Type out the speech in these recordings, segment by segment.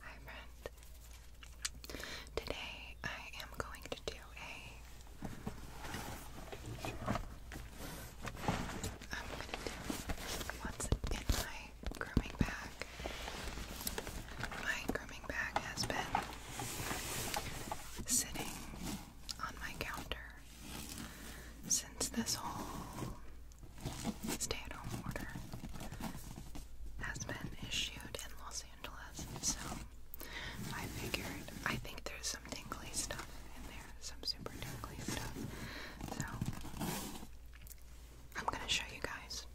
Hi friend. Today I am going to do a I'm gonna do what's in my grooming bag. My grooming bag has been sitting on my counter since this whole stay at home order has been issued in Los Angeles. So I figured, I think there's some tingly stuff in there, some super tingly stuff. So I'm gonna show you guys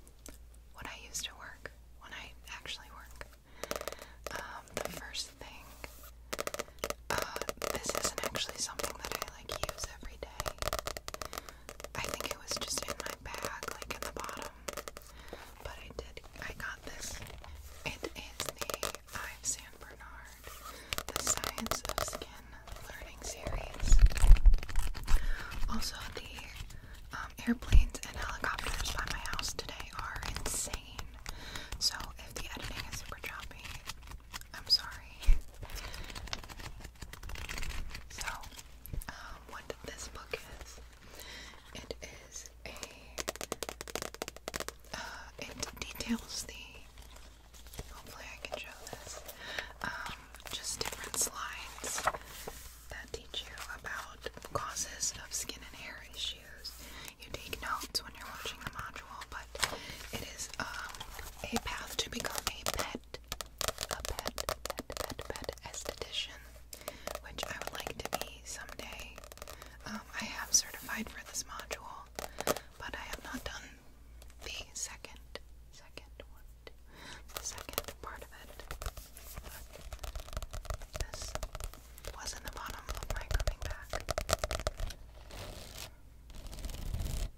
what I used to work when I actually work. Um, the first thing this isn't actually something that I like use every day. I think it was just in my bag, like in the bottom. But I did, I got this. It is the i am San Bernard, the Science of Skin Learning Series. Also, the um, airplanes and helicopters by my house today are insane. So, if the editing is super choppy, I'm sorry. So, um, what this book is, it is a, uh, it details the, hopefully I can show this, um, just different slides that teach you about causes of skin and hair issues. You take notes when you're watching the module, but it is um, a path to become a pet, a pet, pet, pet, pet esthetician, which I would like to be someday. Um, I have certified for this module, but I have not done the second, second one, part of it. this was in the bottom of my coming back.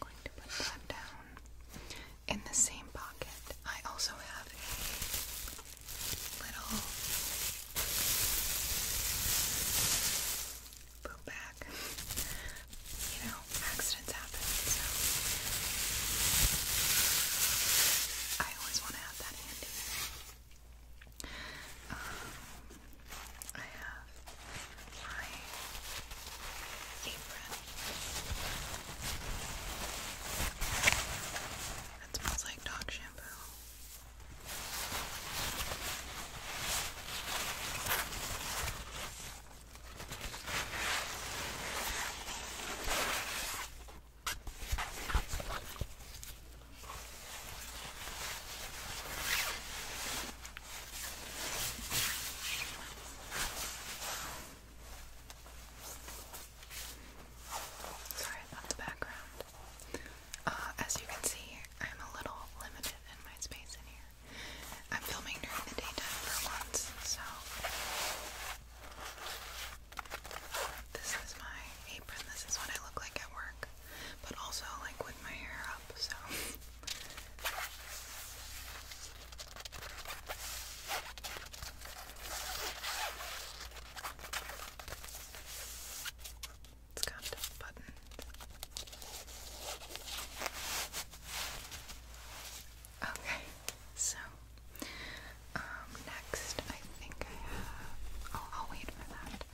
going to put that down. In the same pocket, I also have a little boot bag. You know, accidents happen, so I always want to have that handy. Um, I have my apron. It smells like dog shampoo. Sorry about the background. Uh, as you can see, I'm a little limited in my space in here. I'm filming during the daytime for once, so this is my apron. This is what I look like at work, but also like with my hair up, so It's got a button. Okay, so um, next I think I have. Oh, I'll wait for that.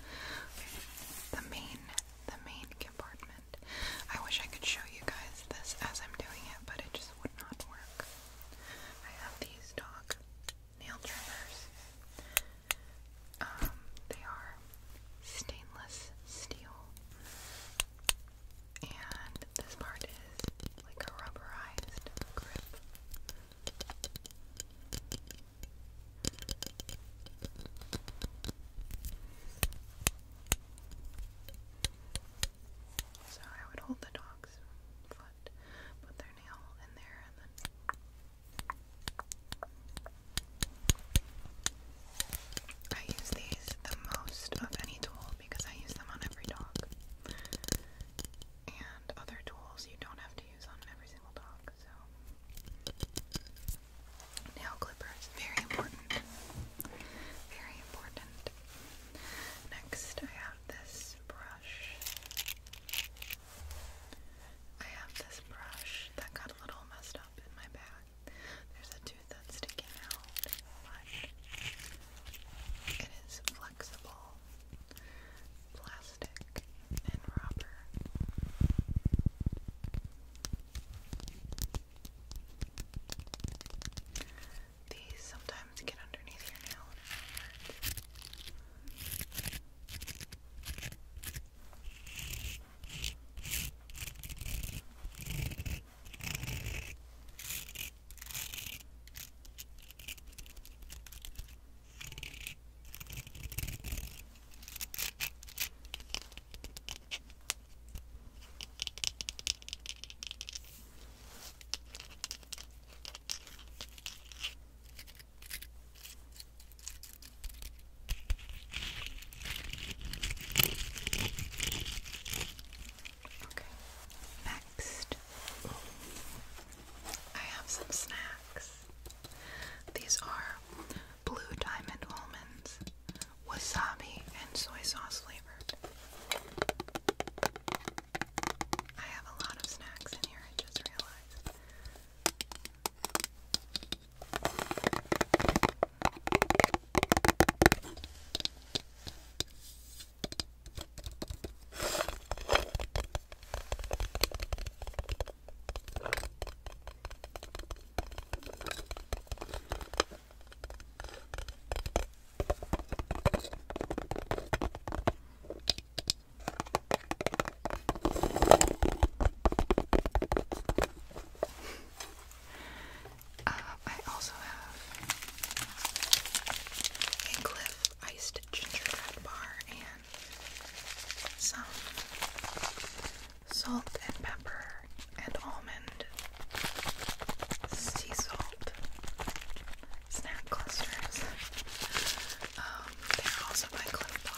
The main, the main I wish I could show you guys this as I'm doing it, but it just would not work. I have these dog nail trimmers. Um, they are stainless steel, and this part is like a rubberized grip. So I would hold the dog's foot, put their nail in there, and then. I use these the most of any tool because I use them on every dog. And other tools you don't have to use on every single dog, so Nail clippers, very important. Very important. Next, I have this brush. I have this brush that got a little messed up in my bag. There's a tooth that's sticking out, it is flexible, plastic, and rubber. These sometimes get underneath your nail Okay, next I have some snacks. These are blue diamond almonds, wasabi, and soy sauce flavored. I have a lot of snacks in here, I just realized. Uh, I also have a Cliff iced gingerbread bar and some salt and pepper and almond, sea salt, snack clusters. Um, they're also by Cliff Bar.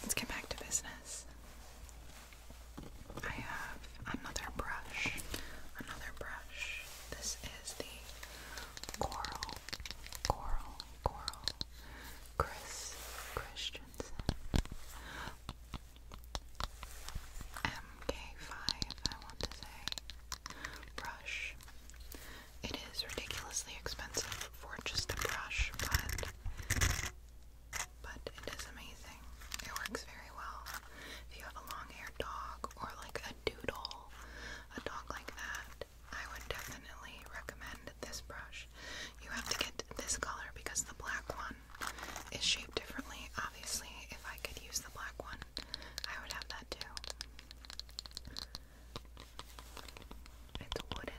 Let's get back to business. I have another brush. Another brush. This is the coral, coral, coral Chris Christensen. MK5, I want to say. Brush. It is ridiculously expensive for just a brush, but but it is amazing. It works very well. If you have a long-haired dog or like a doodle, a dog like that, I would definitely recommend this brush. You have to get this color because the black one is shaped differently. Obviously, if I could use the black one, I would have that too. It's wooden.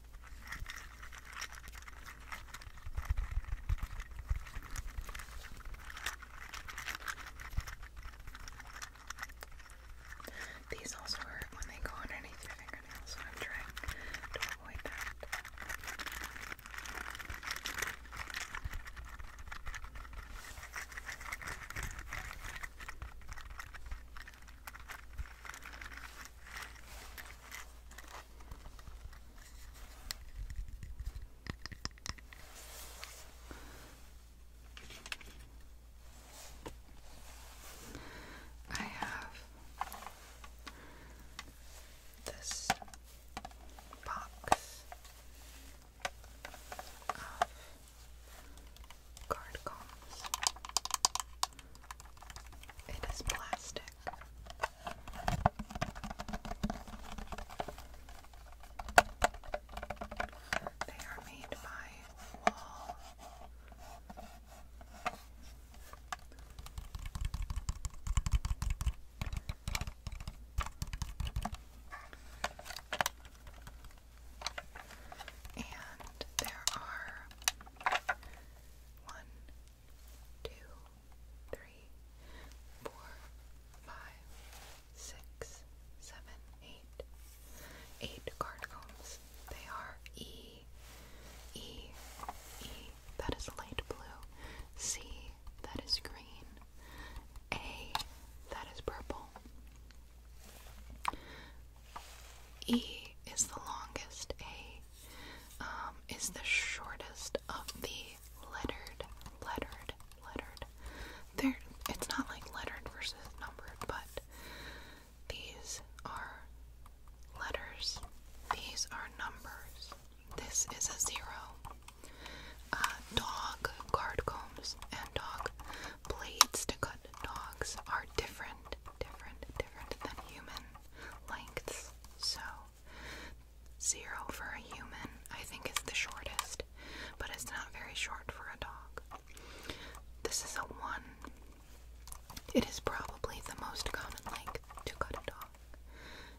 These also hurt when they go underneath your fingernails, so I'm trying to avoid that. I have this box of card combs. It is plastic. They are made by Wall. And there are one, two, three, four, five, six, seven, eight. Eight card combs. They are E, E, E, that is light blue, C, that is green, A, that is purple. E is the longest. A um, is the shortest of the lettered, lettered, lettered. There, it's not like lettered versus numbered, but these are letters. These are numbers. This is a zero. Uh, dog card combs and dog blades to cut dogs are different, different, different than human lengths. So, zero for a human, I think, is the shortest, but it's not very short for a dog. This is a one. It is probably the most common length to cut a dog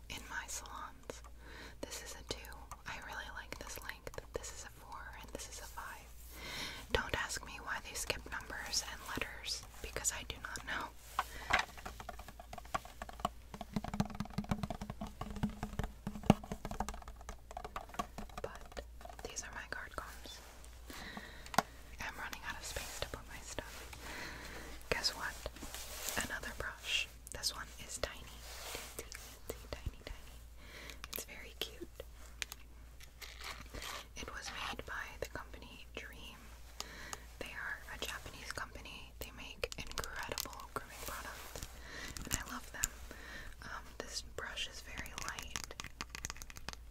in my salons. This is a two. I really like this length. This is a four, and this is a five. Don't ask me why they skip numbers and letters because I do not know. But these are my card combs. I'm running out of space to put my stuff. Guess what? Another brush. This one is tiny. Teensy, teensy, tiny, tiny. It's very cute. It was made by the company Dream. They are a Japanese company. They make incredible grooming products, and I love them. Um, this brush is very light.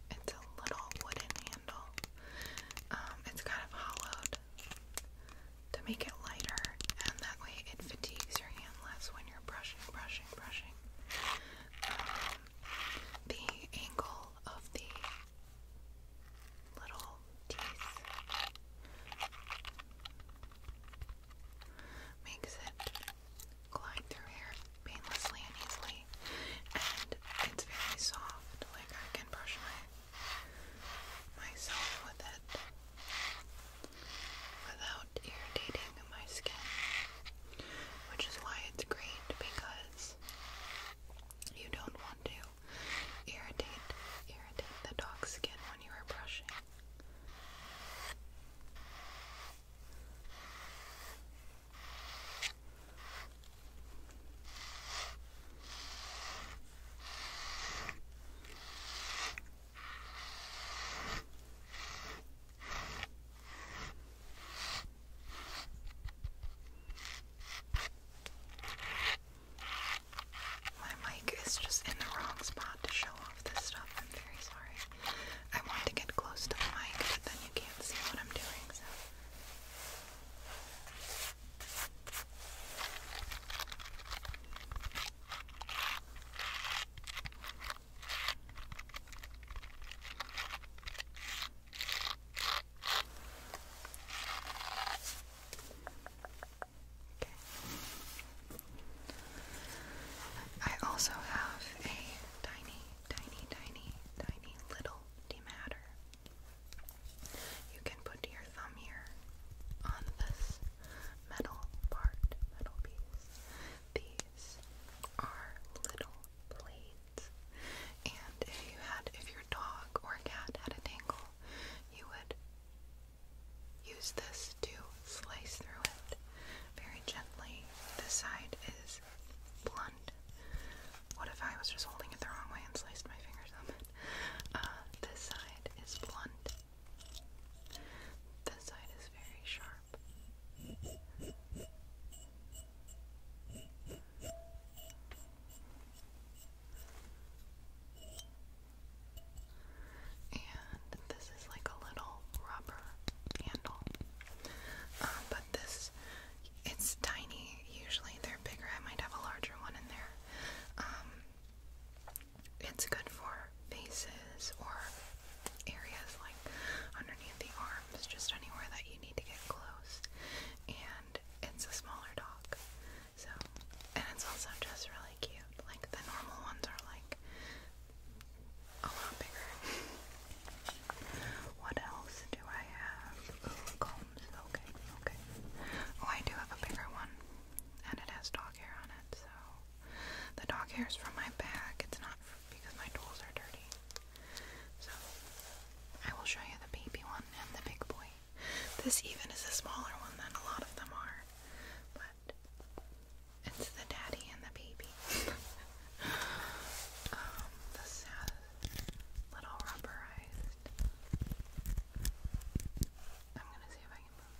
It's a little wooden handle. Um, it's kind of hollowed to make it lighter, and that way it fatigues your hand less when you're brushing, brushing, brushing. Um, the angle of the little teeth makes it glide through hair painlessly and easily, and it's very soft. Like I can brush my myself with it without irritating my skin, which is why it's great because you don't want to irritate irritate the dog's skin when you are brushing. My mic is just in the wrong spot to show off this stuff. I'm very sorry. I want to get close to the mic, but then you can't see what I'm doing, Okay. I also have a tiny, tiny, tiny, tiny little dematter. You can put your thumb here on this metal part, metal piece. These are little blades. And if you had, if your dog or cat had a tangle, you would use this to slice through it very gently. This side is blunt. What if I was just holding it the wrong way and sliced my fingers on it? Uh, this side is blunt. This side is very sharp. And this is like a little rubber handle. Um, but this, it's tiny. Usually they're bigger. I might have a larger one in there. Um, it's good for faces or areas like underneath the arm. It's just anywhere that you need to get close. And it's a smaller dog. So, and it's also just really cute. Like the normal ones are like a lot bigger. What else do I have? combs. Okay, okay. Oh, I do have a bigger one. And it has dog hair on it, so the dog hair is from my bag. It's not because my tools are dirty. So I will show you the baby one and the big boy. This even is a smaller one than a lot of them are, but it's the daddy and the baby. um, little rubberized. I'm gonna see if I can move.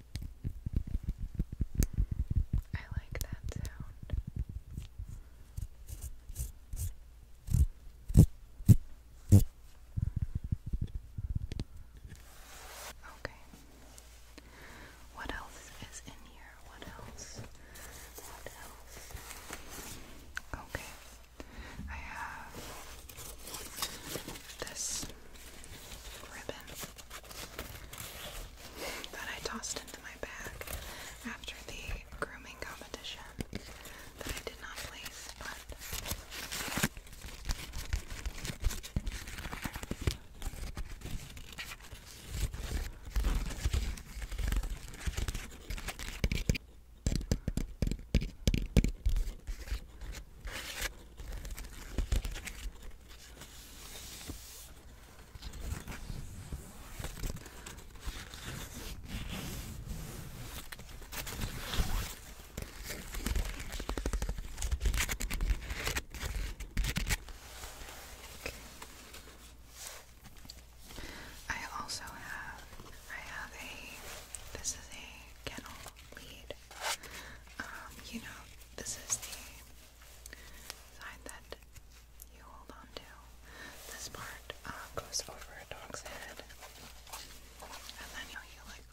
I like that sound. Okay. What else is in here? What else? What else? Okay. I have this ribbon that I tossed into my bag after the grooming competition that I did not place, I also have I have a this is a kennel lead. Um, you know, this is the side that you hold on to. This part uh, goes over a dog's head, and then you like,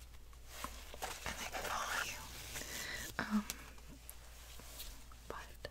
and they follow you. Um, but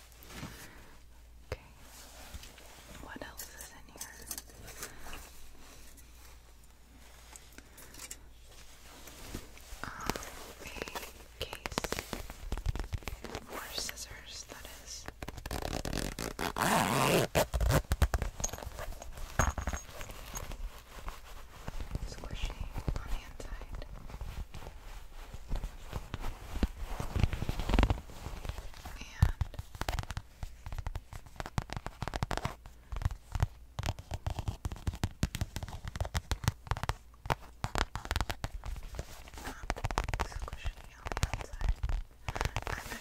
Okay. What else is in here? Um, a case for scissors, that is. Squishy on the and I'm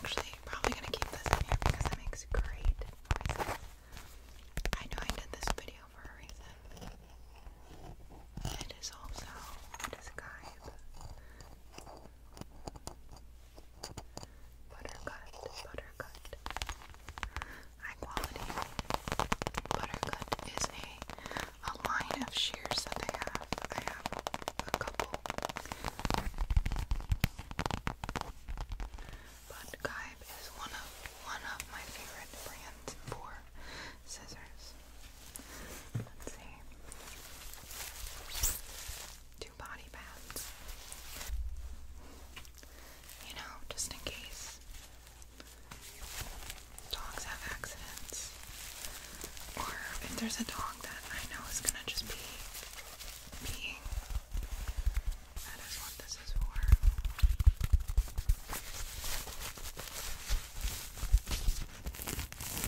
actually probably gonna keep this here because it makes great I know I did this video for a reason. It is also a disguise. Buttercut, buttercut. High quality. Buttercut is a a line of shears that they have. I have a couple. But Gaib is one of one of my favorite brands for scissors. Let's see. Two body pads. You know, just in case dogs have accidents. Or if there's a dog that I know is gonna just be peeing. That is what this is for.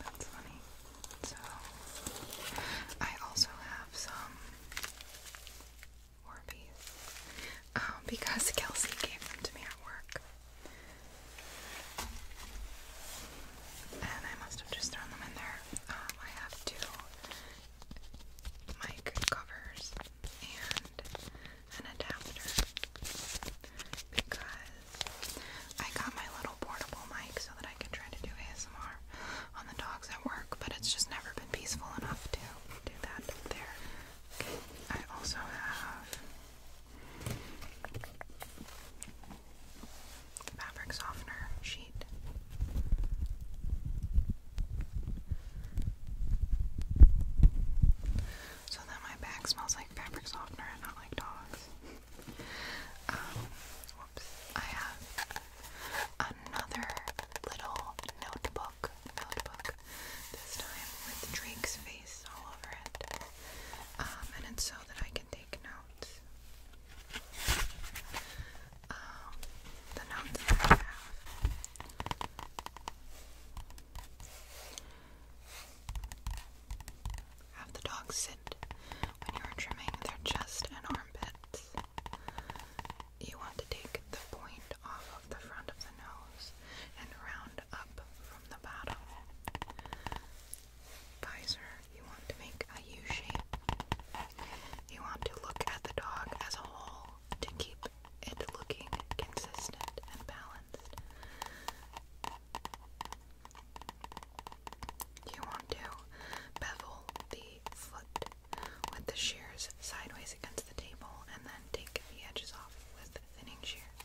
That's funny. So, I also have some Warbies um, because Kelsey gave them to me at work. And I must have just thrown them in there. Um, I have two mic covers and an adapter because I got my little portable mic so that I can try to do ASMR on the dogs at work, but it's just never been peaceful enough to do that there. I also have fabric softener sheet so that my back smells like fabric softener and not like dogs. um, I have another little notebook. Notebook. This time with Drake's face all over it. Um, and it's so that I can take notes. Um, the notes that I have. Have the dog sit when you are trimming their chest and armpits. You want to take the point off of the front of the nose and round up from the bottom. Visor, you want to make a U shape. You want to look at the dog as a whole to keep it looking consistent and balanced. You want to bevel the foot with the shears sideways against the table and then take the edges off with thinning shears.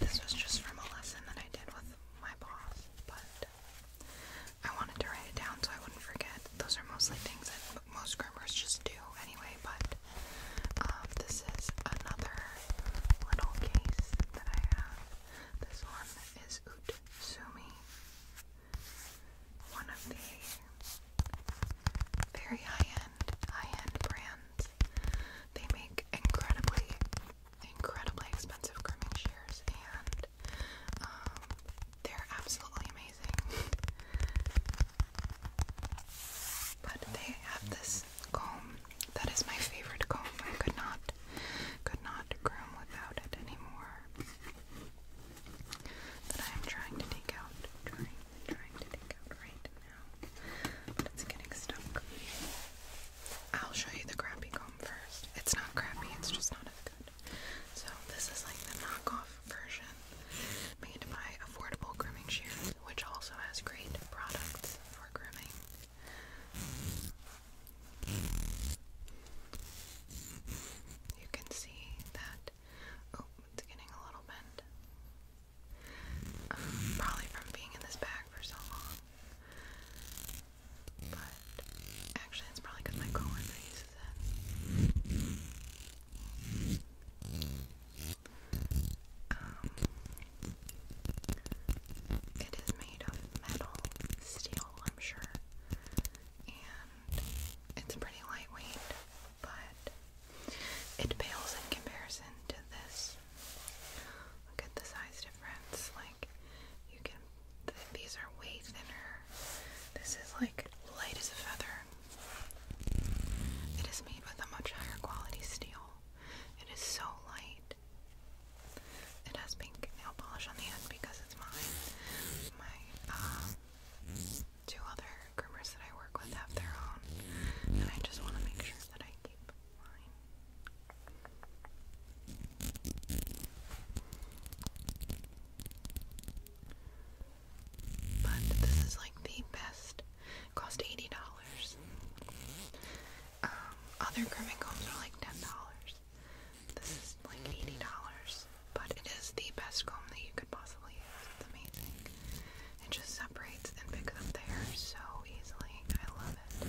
This was just from a lesson that I did with my boss, but uh, I wanted to write it down so I wouldn't forget. Those are mostly things that most grammars just do anyway, but um, this is another little case that I have. This one is Utsumi. One of the very high-end, high-end brands. They make incredibly, incredibly expensive grooming shears, and um, they're absolutely amazing. but they have this comb. That is my favorite comb. I could not could not groom without it anymore. That I am trying to take out, trying, trying to take out right now. it's getting stuck. I'll show you the crappy comb first. It's not crappy, it's just not as good. So this is like the knockoff version made by Affordable Grooming Shears, which also has great products use for grooming. You can see that, oh, it's getting a little bent. Um, probably from being in this bag for so long. But actually, it's probably because my coworker uses it it is made of metal, steel, I'm sure, and it's pretty lightweight, but it pales in comparison to this. Look at the size difference. Like, you can, these are way thinner. This is like light as a feather. It is made with a much higher quality steel. It is so light. It has pink nail polish on the end because it's mine. My um, two other groomers that I work with have their own, and I just want to make sure that I keep mine. But this is like the best cost $80. Um, other grooming combs are like $10. This is like $80, but it is the best comb that you could possibly use. It's amazing. It just separates and picks up the hair so easily. I love it.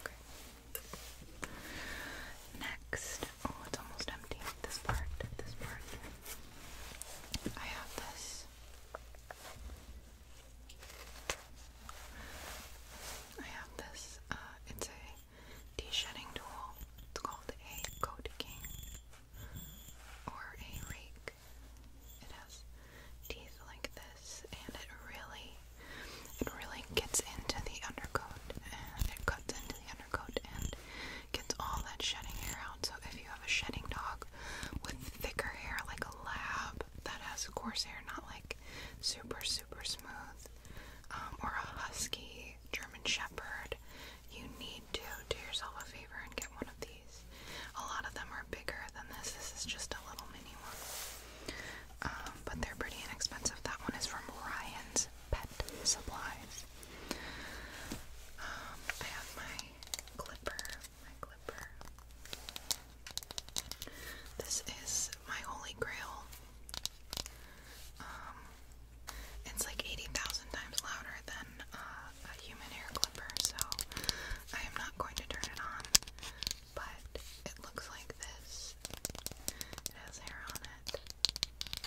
Okay. Next, oh, it's almost empty. This part, this part. I have this. I have this. Uh, it's a de-shedding tool. It's called a coat king or a rake. It has teeth like this, and it really, it really gets into the undercoat, and it cuts into the undercoat and gets all that shedding hair out. So if you have a shedding dog with thicker hair, like a lab that has coarse hair, not like super super smooth, um, or a husky German Shepherd, you need to do yourself a favor and get one of these. A lot of them are bigger than this. This is just a little mini one. Um, but they're pretty inexpensive. That one is from Ryan's Pet Supplies. Um, I have my clipper. My clipper. This is my holy grail. Um, it's like 80,000 times louder than uh, a human hair clipper, so I am not going to turn it on but it looks like this. It has hair on it,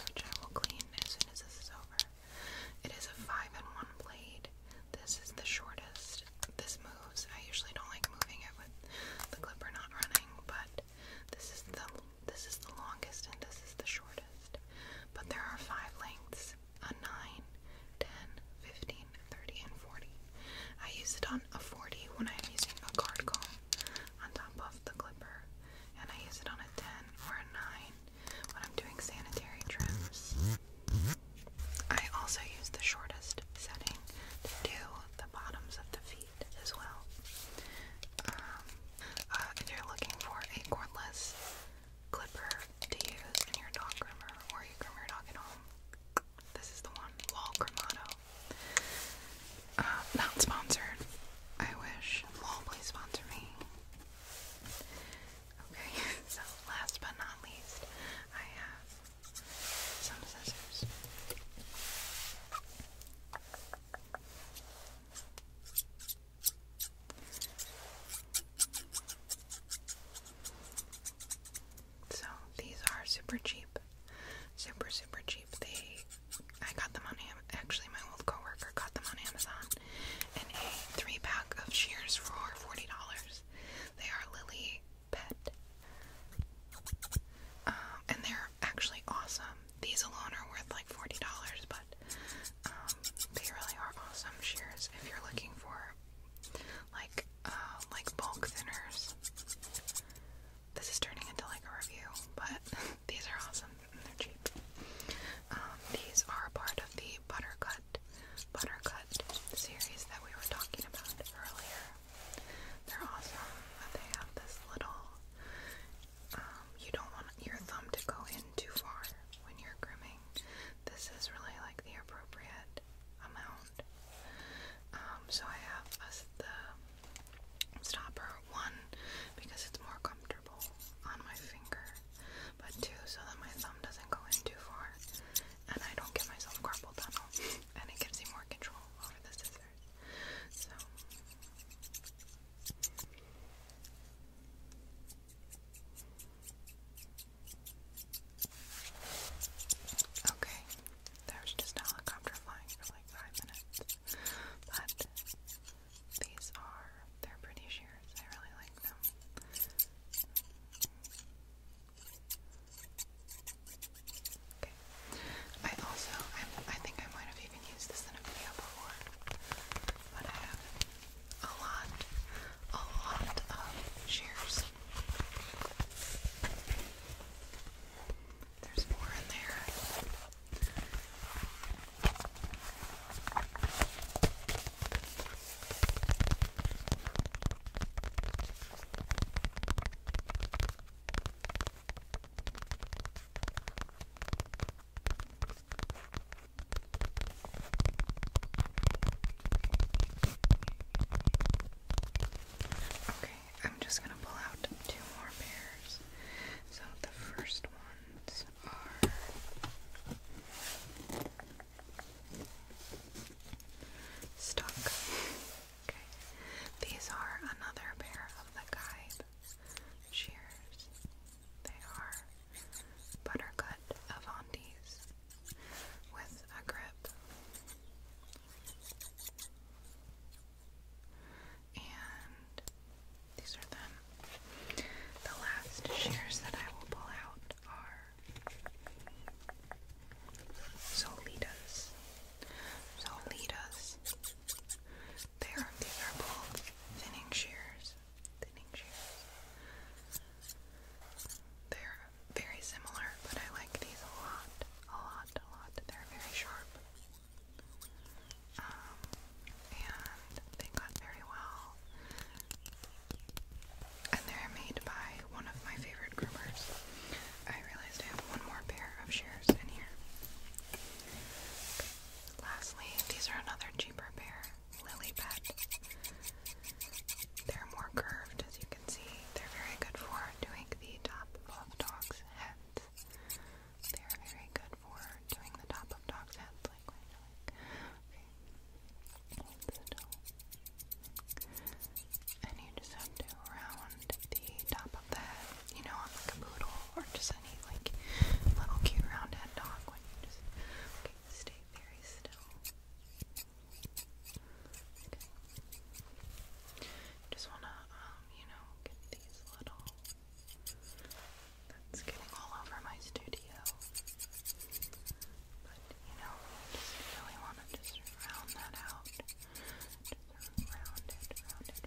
which I will clean as soon as this is over. It is a 5 in 1 blade. This is the shortest. This moves. I usually don't like moving it with the clipper not running, but this is the this is the longest and this is the shortest. But there are five lengths: a 9, 30 and 40. I use it on a 40 when I'm using a card comb on top of the clipper, and I use it on a 10 or a 9 when I'm doing sanitary trims. I also use the shortest setting to do the bottoms of the feet as well. Um, uh, if you're looking for a cordless clipper to use in your dog groomer or you groom your dog at home, this is the one, Lol Cremato. Uh, not sponsored. I wish. Lol, please sponsor me. Okay, so last but not least, I have some scissors. So these are super cheap. Super super cheap. They I got them on Am actually my old coworker got them on Amazon and a three pack of shears for forty dollars. They are Lily Pet. Um, and they're actually awesome. These alone are worth like forty dollars, but um, they really are awesome shears if you're looking for like uh, like bulk thinners. This is turning into like a review, but these are awesome and they're cheap. Um, these are part of the Buttercut Buttercut series that we were talking about earlier. They're awesome. They have this little. Um, you don't want your thumb to go in too far when you're grooming. This is really like the appropriate amount. Um, so I have us the stopper one because it's more comfortable on my finger, but two so that my thumb doesn't go in too far and I don't get myself carpal tunnel, and it gives me more control over the scissors. So. Okay, there was just a helicopter for like five minutes, but these are, they're pretty shears, I really like them. Okay, I also, I think I might have even used this in a video before, but I have a lot a lot of shears. There's more in there. Okay, I'm just gonna pull out two more pairs. So the first ones are stuck. Okay, these are another pair of the guide shears. They are buttercut Avantis with a grip. And these are them. The last shears that I will pull out are Solitas. Solitas. They are these are both thinning shears. Thinning shears. They're very similar, but I like these a lot, a lot, a lot. They're very sharp. Um, and they cut very well. And they're made by one of my favorite groomers. I realized I have one more pair of shears in here. Lastly, these are another cheaper pair, Lily Pet. They're more curved, as you can see. They're very good for doing the top of dogs' heads. They're very good for doing the top of dogs' heads, like right now. Okay. Hold still. And you just have to round the top of the head, you know, on like a poodle or just any like little cute round head dog when you just okay, stay very still. Okay. Just wanna, um, you know, get these little. That's getting all over my studio. But you know, just really wanna just round that out. round it, round it, round it.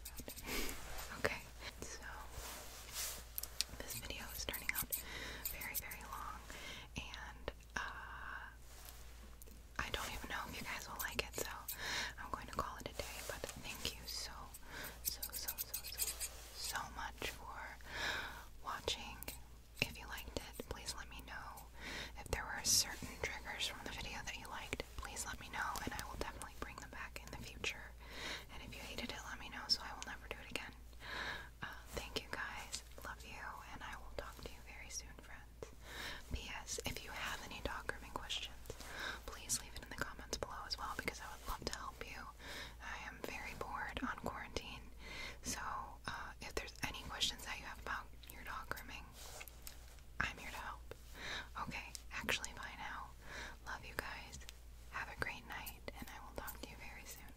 okay. So this video is turning out very, very long and uh, I don't even know if you guys will like it, so I'm going to call it a day. But thank you so, so, so, so, so, so much for watching. If you liked it, please let me know. If there were certain triggers from the video that you liked, please let me know, and I will definitely bring them back in the future. And if you hated it, let me know so I will never do it again. Uh, thank you guys. Love you, and I will talk to you very soon, friends. P.S. If you have any dog grooming questions, please leave it in the comments below as well because I would love to help you. I am very bored on quarantine, so uh, if there's any questions that you have about your dog grooming, I'm here to help. Okay, actually, bye now. Love you guys. Have a great night, and I will talk to you very soon.